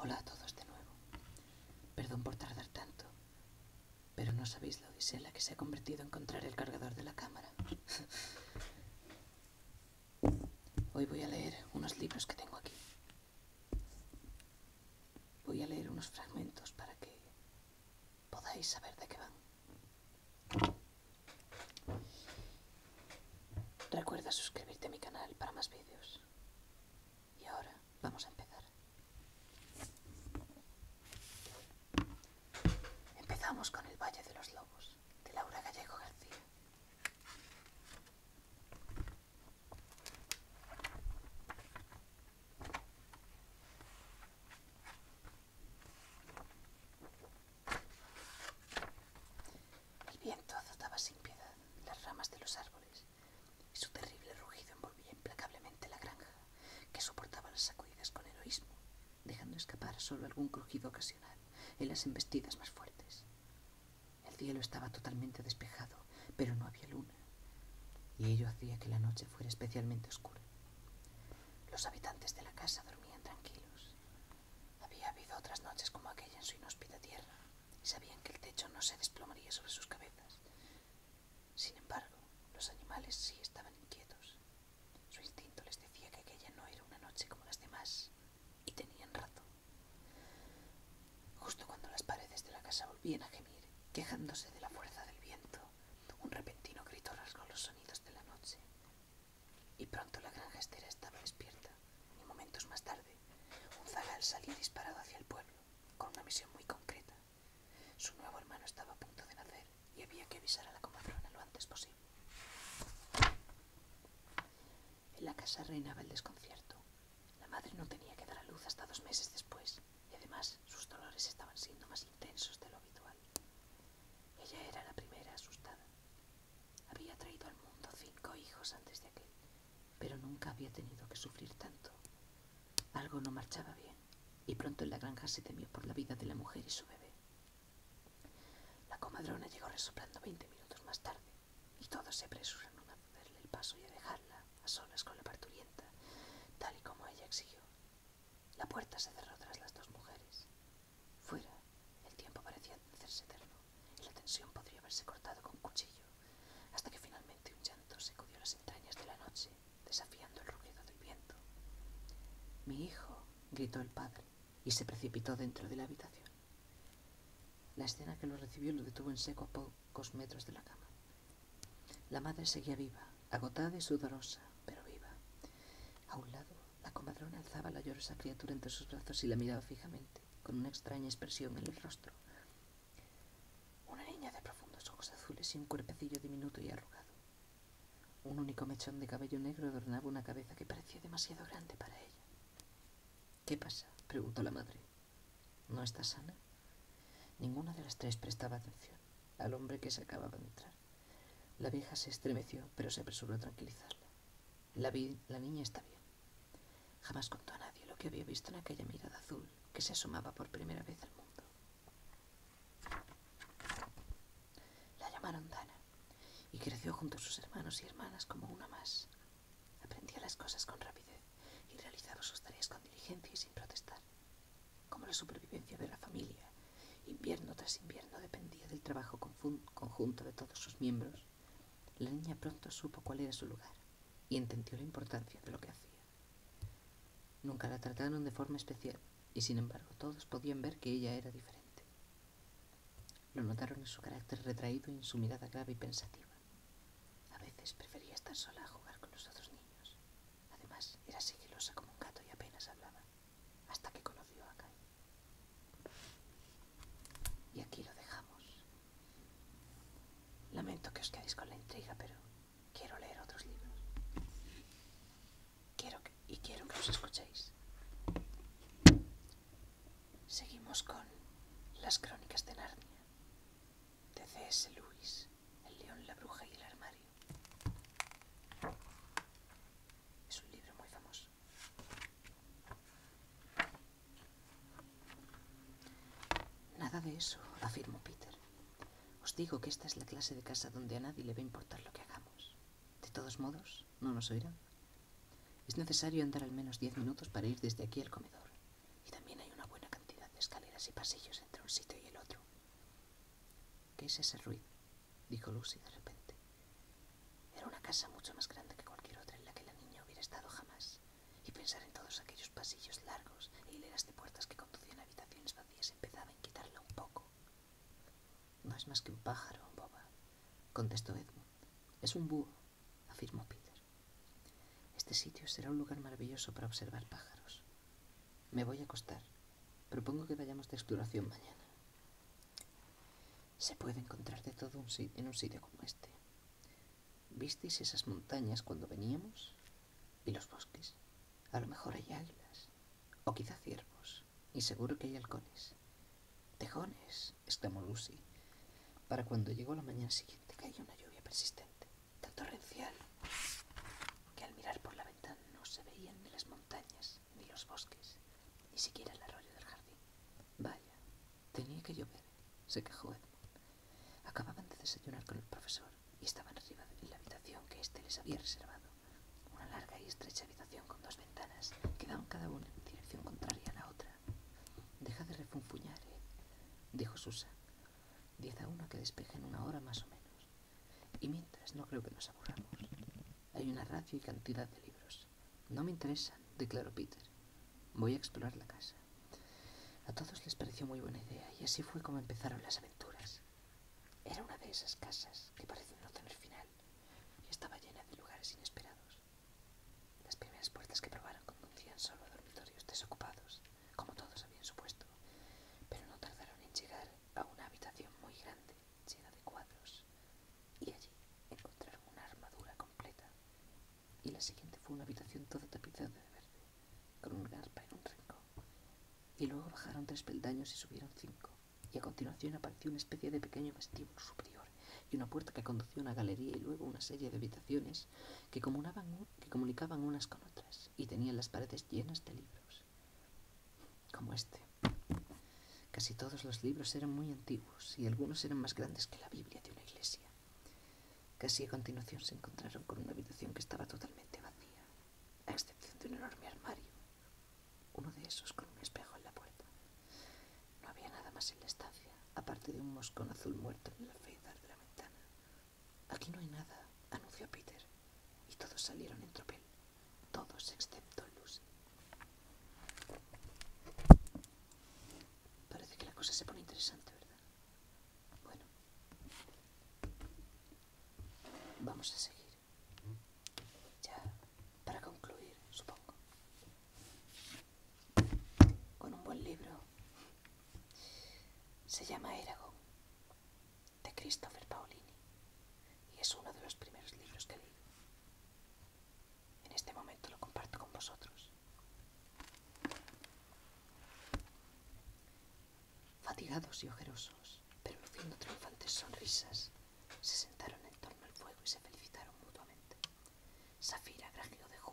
Hola a todos de nuevo. Perdón por tardar tanto, pero no sabéis la la que se ha convertido en encontrar el cargador de la cámara. Hoy voy a leer unos libros que tengo aquí. Voy a leer unos fragmentos para que podáis saber de qué van. Recuerda suscribirte a mi canal para más vídeos. Y ahora vamos a empezar. Empezamos con El Valle de los Lobos, de Laura Gallego García. El viento azotaba sin piedad las ramas de los árboles y su terrible rugido envolvía implacablemente la granja, que soportaba las sacudidas con heroísmo, dejando escapar solo algún crujido ocasional en las embestidas más fuertes. El cielo estaba totalmente despejado, pero no había luna, y ello hacía que la noche fuera especialmente oscura. Los habitantes de la casa dormían tranquilos, había habido otras noches como aquella en su inhóspita tierra, y sabían que el techo no se desplomaría sobre sus cabezas. Sin embargo, los animales sí estaban inquietos. Su instinto les decía que aquella no era una noche como las demás, y tenían razón. Justo cuando las paredes de la casa volvían a gemir, quejándose de la fuerza del viento, un repentino grito rasgó los sonidos de la noche, y pronto la gran gestera estaba despierta, y momentos más tarde, un zagal salía disparado hacia el pueblo, con una misión muy concreta. Su nuevo hermano estaba a punto de nacer y había que avisar a la comadrona lo antes posible. En la casa reinaba el desconcierto. La madre no tenía que dar a luz hasta dos meses después, y además sus dolores estaban siendo más intensos de lo habitual. Ella era la primera asustada, había traído al mundo cinco hijos antes de aquel, pero nunca había tenido que sufrir tanto. Algo no marchaba bien, y pronto en la granja se temió por la vida de la mujer y su bebé. La comadrona llegó resoplando veinte minutos más tarde, y todos se apresuraron a darle el paso y a dejarla a solas con la parturienta, tal y como ella exigió. La puerta se cerró tras las dos mujeres. Fuera. El tiempo parecía hacerse eterno y la tensión podría haberse cortado con cuchillo, hasta que finalmente un llanto sacudió las entrañas de la noche, desafiando el ruido del viento. Mi hijo, gritó el padre, y se precipitó dentro de la habitación. La escena que lo recibió lo detuvo en seco a pocos metros de la cama. La madre seguía viva, agotada y sudorosa, pero viva. A un lado, la comadrona alzaba la llorosa criatura entre sus brazos y la miraba fijamente, con una extraña expresión en el rostro. Una niña de profundos ojos azules y un cuerpecillo diminuto y arrugado. Un único mechón de cabello negro adornaba una cabeza que parecía demasiado grande para ella. ¿Qué pasa? preguntó la madre. ¿No está sana? Ninguna de las tres prestaba atención al hombre que se acababa de entrar. La vieja se estremeció, pero se apresuró a tranquilizarla. La, la niña está bien. Jamás contó a nadie lo que había visto en aquella mirada azul que se asomaba por primera vez al mundo. La llamaron Dana y creció junto a sus hermanos y hermanas como una más. Aprendía las cosas con rapidez y realizaba sus tareas con diligencia y sin protestar como la supervivencia de la familia, invierno tras invierno dependía del trabajo conjunto de todos sus miembros, la niña pronto supo cuál era su lugar y entendió la importancia de lo que hacía. Nunca la trataron de forma especial y sin embargo todos podían ver que ella era diferente. Lo notaron en su carácter retraído y en su mirada grave y pensativa. A veces prefería estar sola a jugar con los otros niños. Además, era sigilosa como un gato y apenas hablaba hasta que conoció a Kai Y aquí lo dejamos. Lamento que os quedéis con la intriga, pero quiero leer otros libros. Quiero y quiero que os escuchéis. Seguimos con Las crónicas de Narnia, de C.S. Lewis, El león, la bruja y el armario. Es un libro muy famoso. Nada de eso, afirmó Peter. Os digo que esta es la clase de casa donde a nadie le va a importar lo que hagamos. De todos modos, no nos oirán. Es necesario andar al menos diez minutos para ir desde aquí al comedor. Y también hay una buena cantidad de escaleras y pasillos entre un sitio y el otro. ¿Qué es ese ruido? dijo Lucy de repente. Era una casa mucho más grande que cualquier otra en la que la niña hubiera estado jamás, y pensar en todos aquellos pasillos largos e hileras de puertas que conducían a habitaciones vacías empezaba a inquietarla un poco. No es más que un pájaro, boba, contestó Edmund. Es un búho, afirmó Peter. Este sitio será un lugar maravilloso para observar pájaros. Me voy a acostar, Propongo que vayamos de exploración mañana. Se puede encontrar de todo un en un sitio como este. ¿Visteis esas montañas cuando veníamos? ¿Y los bosques? A lo mejor hay águilas, o quizá ciervos, y seguro que hay halcones. Tejones, exclamó Lucy. Para cuando llegó la mañana siguiente cayó una lluvia persistente tan torrencial que al mirar por la ventana no se veían ni las montañas, ni los bosques, ni siquiera el arroyo del jardín. Vaya, tenía que llover, se quejó Edmund. Acababan de desayunar con el profesor y estaban arriba en la habitación que éste les había reservado. Una larga y estrecha habitación con dos ventanas que daban cada una en dirección contraria a la otra. Deja de refunfuñar, eh, dijo Susa. Diez a uno que despejen una hora más o menos. Y mientras no creo que nos aburramos. Hay una radio y cantidad de libros. No me interesan, declaró Peter. Voy a explorar la casa. A todos les pareció muy buena idea y así fue como empezaron las aventuras. Era una de esas casas que parecen no tener final y estaba llena de lugares inesperados. Las primeras puertas que probaron conducían solo a dormitorios desocupados como todos habían supuesto, pero no tardaron en llegar a una habitación muy grande, llena de cuadros, y allí encontraron una armadura completa. Y la siguiente fue una habitación toda tapizada de verde, con un garpa en un rincón. Y luego bajaron tres peldaños y subieron cinco, y a continuación apareció una especie de pequeño vestíbulo superior y una puerta que conducía a una galería y luego una serie de habitaciones que comunicaban unas con otras y tenían las paredes llenas de libros, como este. Casi todos los libros eran muy antiguos y algunos eran más grandes que la Biblia de una iglesia. Casi a continuación se encontraron con una habitación que estaba totalmente vacía, a excepción de un enorme armario, uno de esos con un espejo en la puerta. No había nada más en la estancia, aparte de un moscón azul muerto en la alféizar de la ventana. Aquí no hay nada, anunció Peter, y todos salieron en tropel, todos excepto Lucy. Parece que la cosa se pone interesante, ¿verdad? Bueno, vamos a seguir. Ya, para concluir, supongo. Con un buen libro se llama Eragon, de Christopher Paolini, y es uno de los primeros libros que leí. En este momento lo comparto con vosotros. Fatigados y ojerosos, pero luciendo triunfantes sonrisas, se sentaron en torno al fuego y se felicitaron mutuamente. Safira de